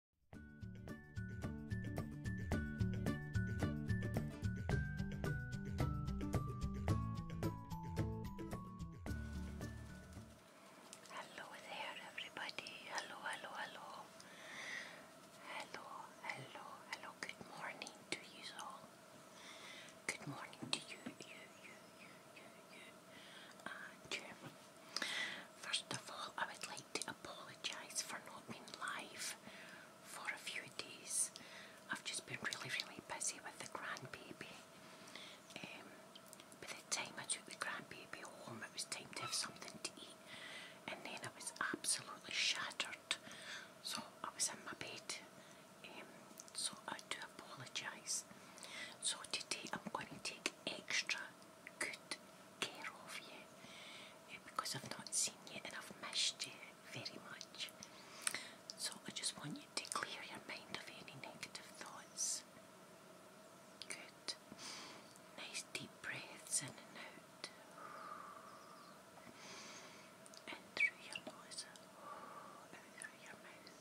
Hello there, everybody. Hello, hello, hello. Hello, hello, hello. Good morning to you all. Good morning to you, you, you, you, you, you, uh, and Jim. First of all, I would like to apologise for not being live for a few days. I've just been really, really busy with the grandbaby. Um, by the time I took the grandbaby home, it was time to have something to eat, and then I was absolutely shattered. So I was in my bed. Um, so I do apologise. So today I'm going to take extra good care of you uh, because I've not seen you and I've missed you very much. So I just want you to clear your mind of any negative thoughts. Good. Nice deep breaths in and out. And through your nose. Out through your mouth.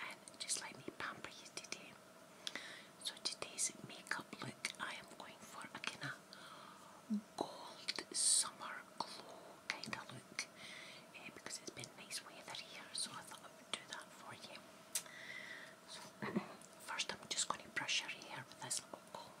And just let me pamper you today. So today's makeup look I am going for a kind of gold summer glow kind of look eh, because it's been nice weather here so I thought I would do that for you. first I'm just going to brush your hair with this little comb.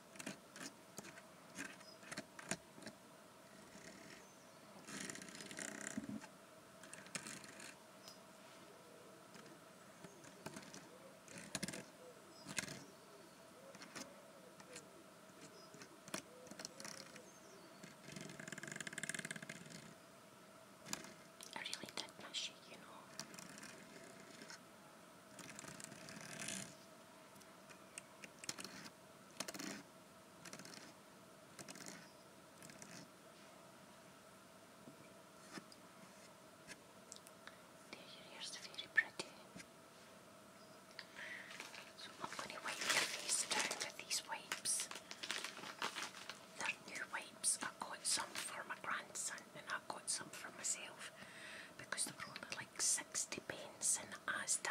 I really did miss you, you know. There your hair is very pretty. So I'm going to wipe your face down with these wipes. They're new wipes. I got some for my grandson and I got some for myself because they were only 60 pence an Asda.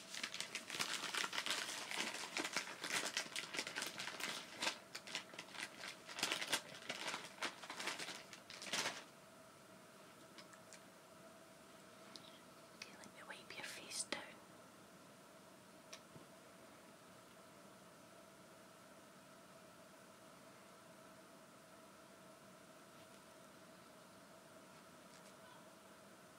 Okay, let me wipe your face down. Okay,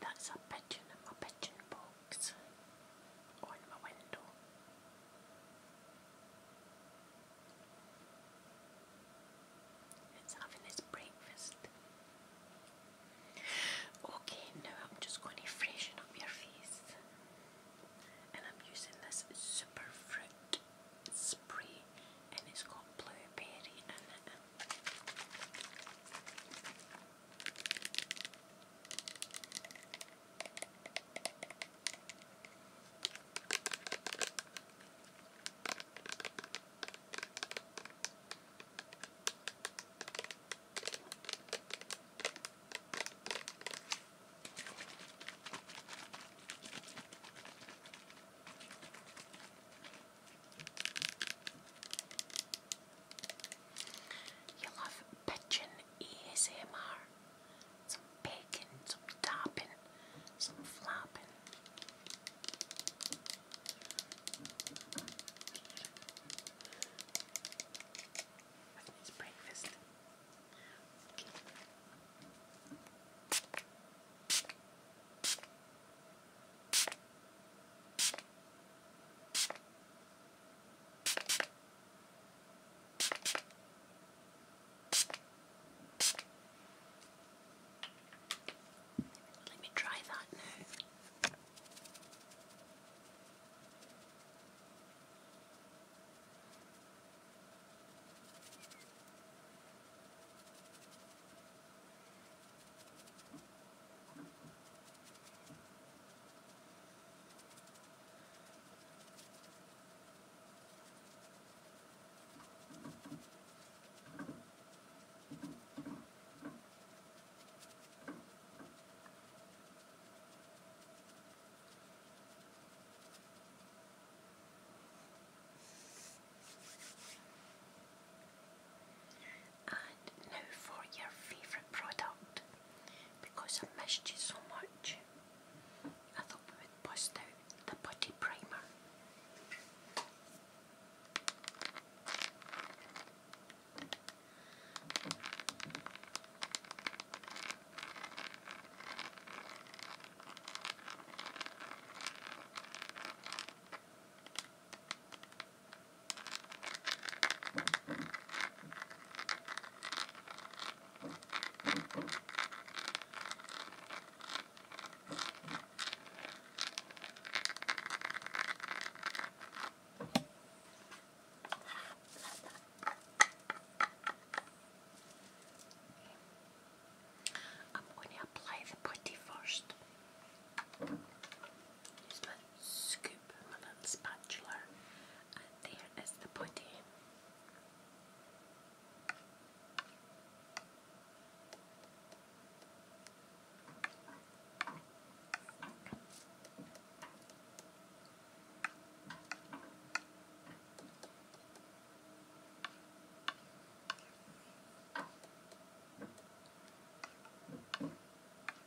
That's a pigeon in my pigeon box or my window. It's having its breakfast. Okay, now I'm just going to freshen up your face. And I'm using this super fruit spray and it's got blueberry in it. You love pigeon ASMR some bacon, some topping, some flopping. It's breakfast. Let me try that now. And now for your favourite product because I missed you so much. I thought we would bust out the putty primer. I'm going to apply the putty first. Use my scoop scoop my little spatula and there is the pudding.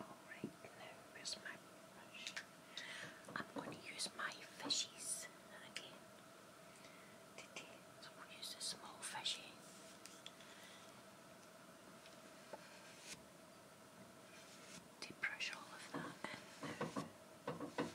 Alright, now where's my brush? I'm going to use my fishies again today. So we'll use a small fishy. To brush all of that in now.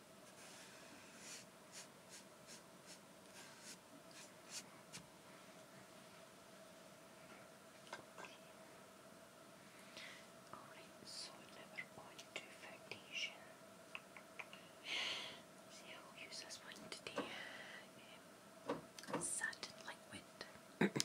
Alright, so we're on to foundation. So will use this one today. Um, liquid.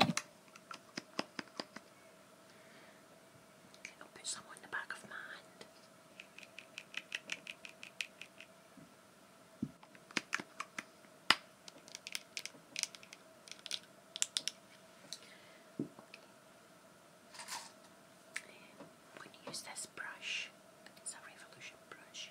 Okay, I'll put some on the back of my hand. I'm going to use this brush. It's a Revolution brush.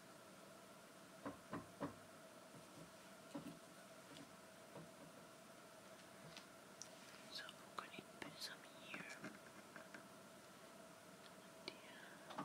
So I'm put some here. Oh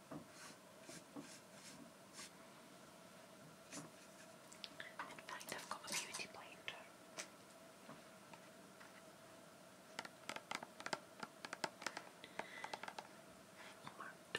In fact, I've got a beauty blender. Marked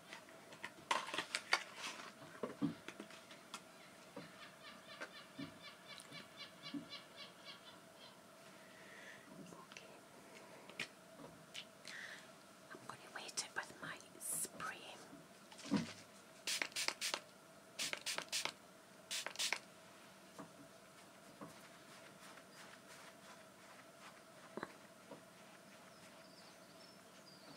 I'm going to wait it with my spray.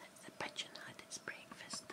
That's the pigeon had its breakfast.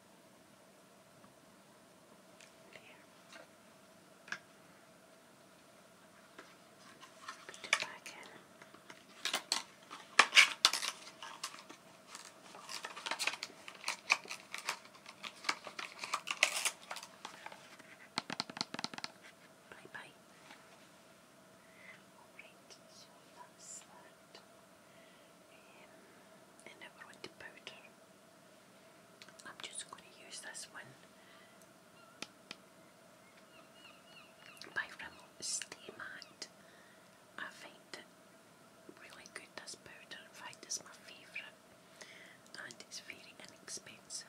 Put it Bye bye. Alright, so that's to um, powder. I'm just going to use this one by Rimmel Stay Matte. I find it really good, this powder. In fact, it's my favourite and it's very inexpensive.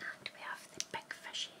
And we have the big fish here.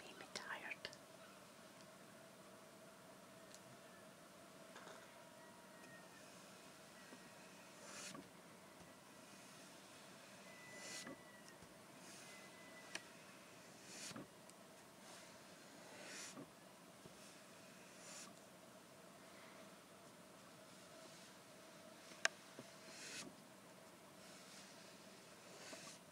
made me tired.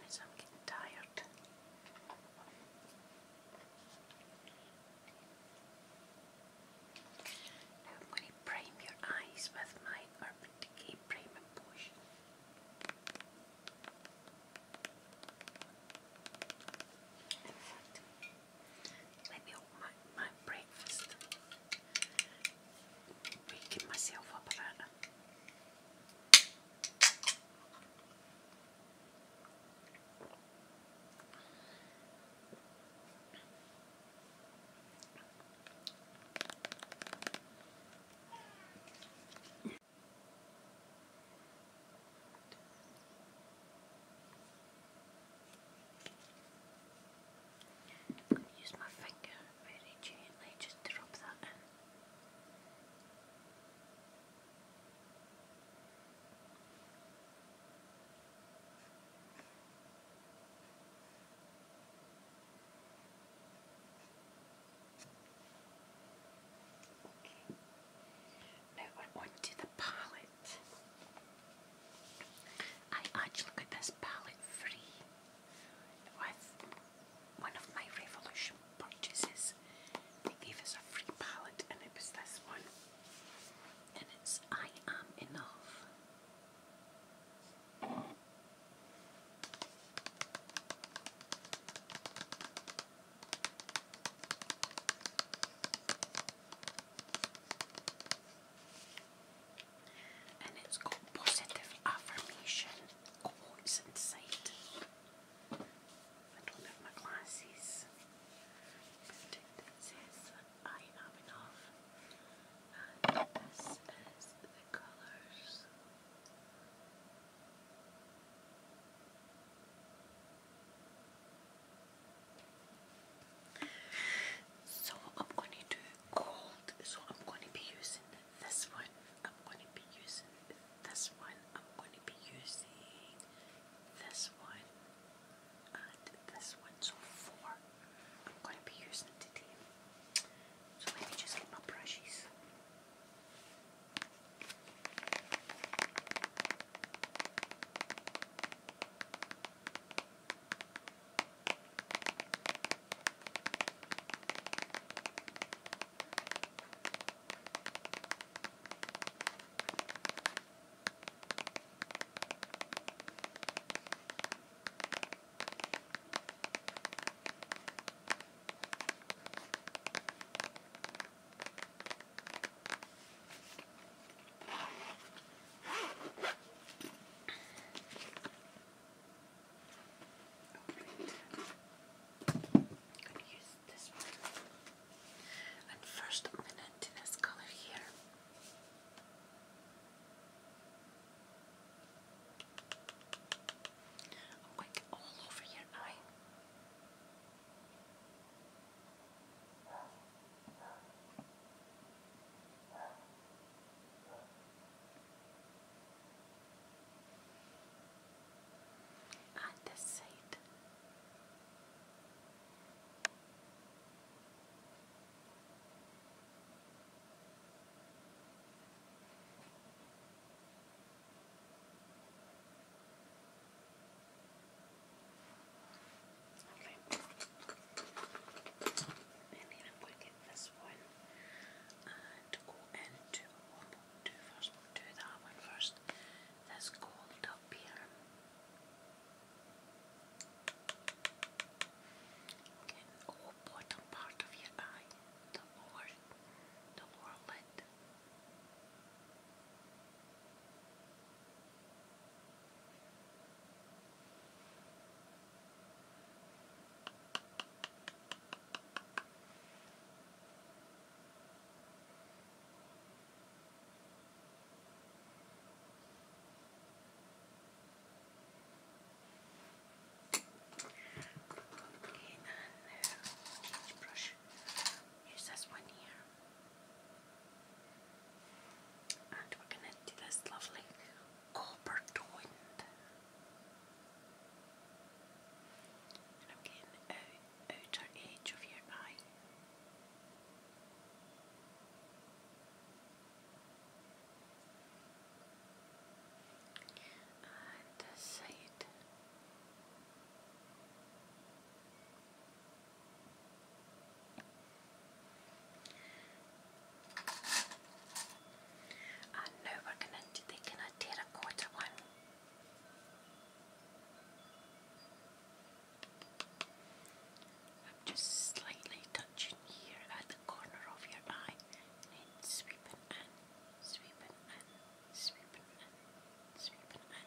Goodness, I'm getting tired prime your eyes with my Urban Decay Potion. let me open my, breakfast. Waking myself up Use my finger very gently just to that Okay. Now we the palette. I actually got this palette free with one of my Revolution purchases. They gave us a free palette and it was this one. And it's I Am Enough. And it's got positive affirmation quotes inside. I don't have my glasses, it says I am enough, this So I'm going to do cold, so I'm going to be using this one, I'm going to be using this one, I'm going to be using this one and this one, so four I'm going to be using today. So let me just get my brushes. I'm gonna use this one. And first I'm gonna do this color here. I'm going all over your eye. And this Okay. And I'm to get this one and go into one we do 1st do that one first. This gold up here. Okay whole bottom part of your eye, the lower, the lower lid. Okay, and uh, brush? Use this one here. And we're going to do this lovely copper toned. And I'm getting the outer edge of your eye on the side. And now we're going to take a terracotta one. I'm just slightly touching here at the corner of your eye sweeping and sweeping and sweeping and sweeping and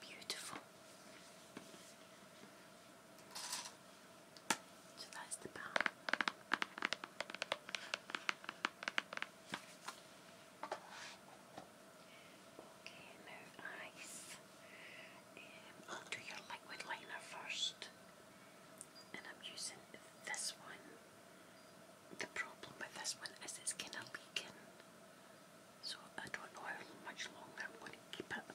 Beautiful. So that's the back. Okay, now eyes. Um, do your liquid liner first. And I'm using this one the problem with this one is it's kind of leaking, so I don't know how much longer I'm going to keep it.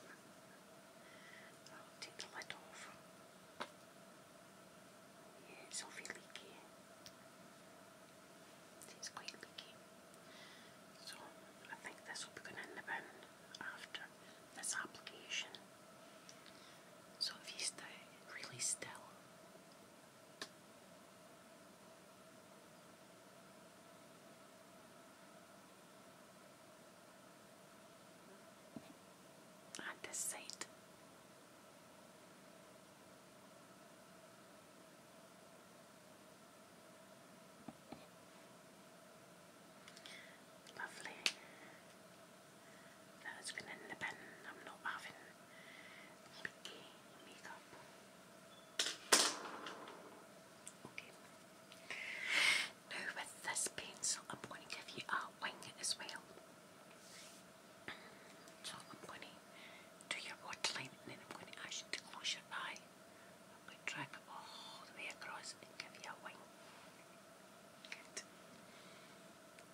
I'll take the lid off. Yeah, it's awfully leaky. It's quite leaky. So I think this will be going in the bin after this application. So if you stay really still at this Lovely. That has been in the bin. I'm not having picky makeup. Okay. with this pencil I'm going to give you a wing as well. So I'm going to do your waterline and then I'm going to ask close your eye. i it all the way across and give you a wing.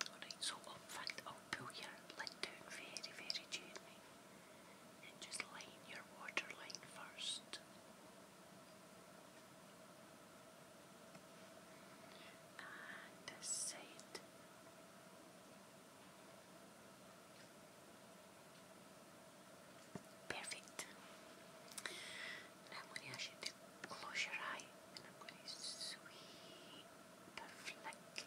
Alright, so in fact I'll pull your lid down very, very gently and just line your water line first. And this side. Perfect. I'm going to ask you to close your eye and I'm going to sweep a flick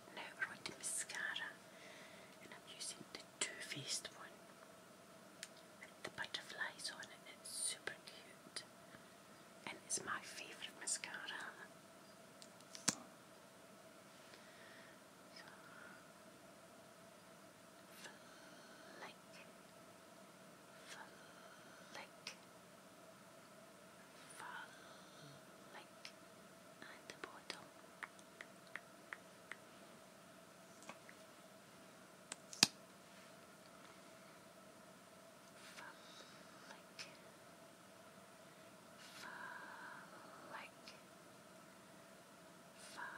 And now we're on to mascara, and I'm using the Too Faced one. the butterflies on it, it's super cute. And it's my favourite mascara. So, flick, Follow, like at the bottom. Fall like, fall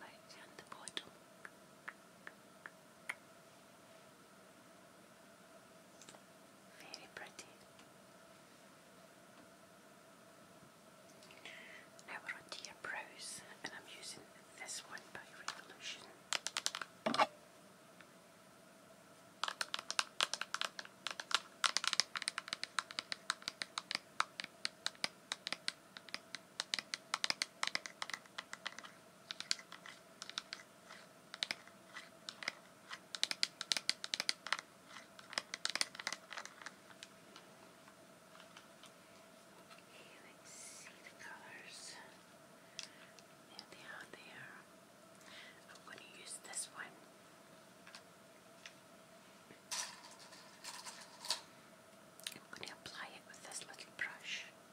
like, fall like, and the bottom. Fall very pretty. Now we're on your brows, and I'm using this one by Revolution. You can see the colors they are there. I'm going to use this one. I'm going to apply it with this little brush.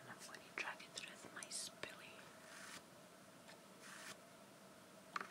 And I'm going to drag it through with my spilly. Wow.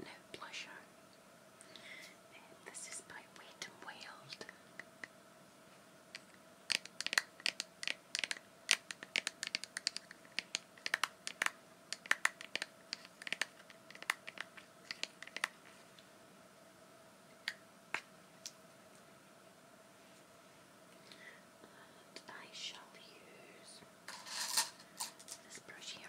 No pleasure. this is by Wet and Wild. I shall use this brush here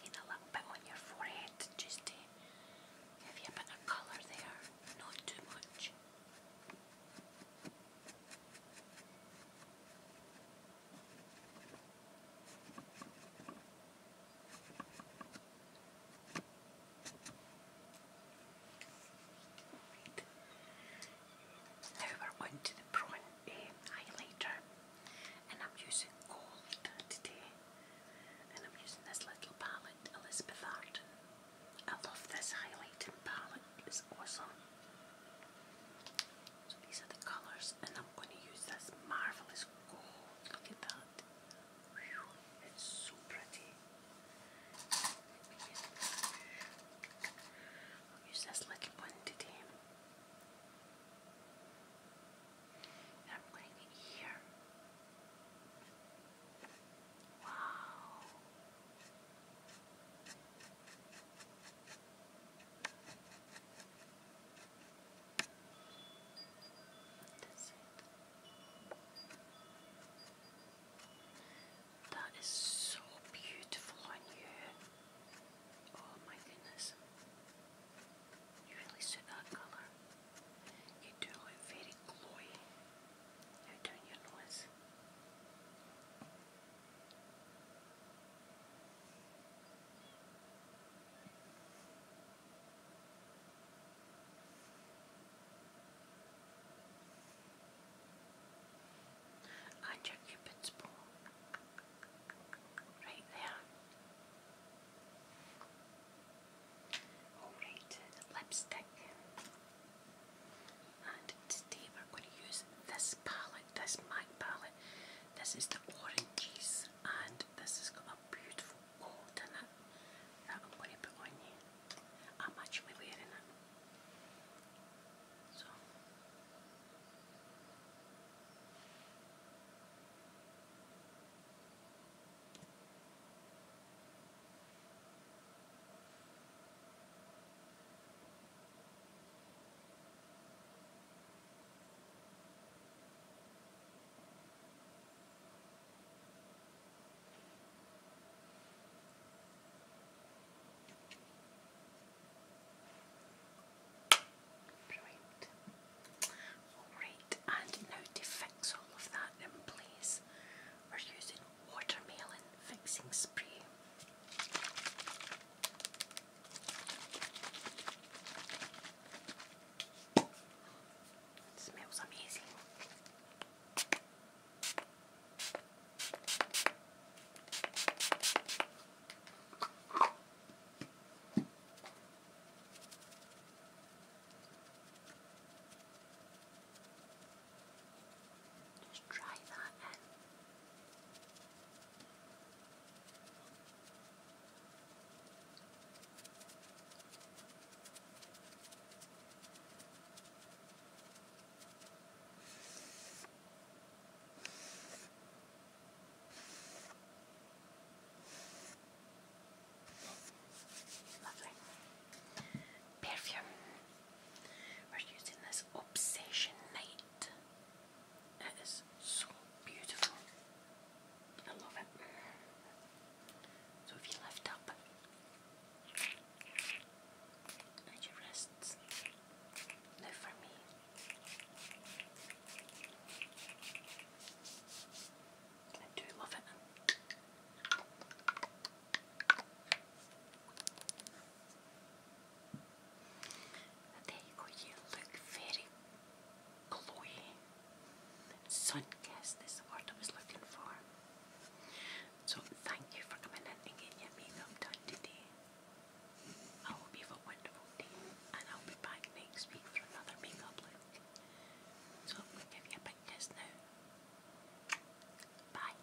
Get a little bit on your forehead just to give you a bit of colour there, not too much. Now we're on the prawn highlighter and I'm using gold today and I'm using this little palette, Elizabeth Arden. I love this highlighting palette, it's awesome. So these are the colors, and I'm going to use this marvelous gold. Look at that. It's so pretty. I'll use this little one today. And I'm going to here. Wow. That's so beautiful on you. Oh my goodness. You really suit that colour. You do look very glowy. Now down your nose. And your cupid's bow, right there. Alright, lipstick. And today we're going to use this palette, this MAC palette. This is the Oranges this and this has got a beautiful gold in it that I'm going to put on you. I'm actually wearing it. So Alright, and now to fix all of that in place, we're using watermelon fixing spray. It smells amazing. Just try that in. Perfume. We're using this Obsession Night it is so beautiful. I love it. So if you lift up and your wrists, now for me. I do love it. There you go, you look very glowy. Suncast is the word I was looking for. So thank you for coming in and your makeup done today. I hope you have a wonderful day and I'll be back next week for another makeup look. So I'm going to give you a big kiss now. Bye.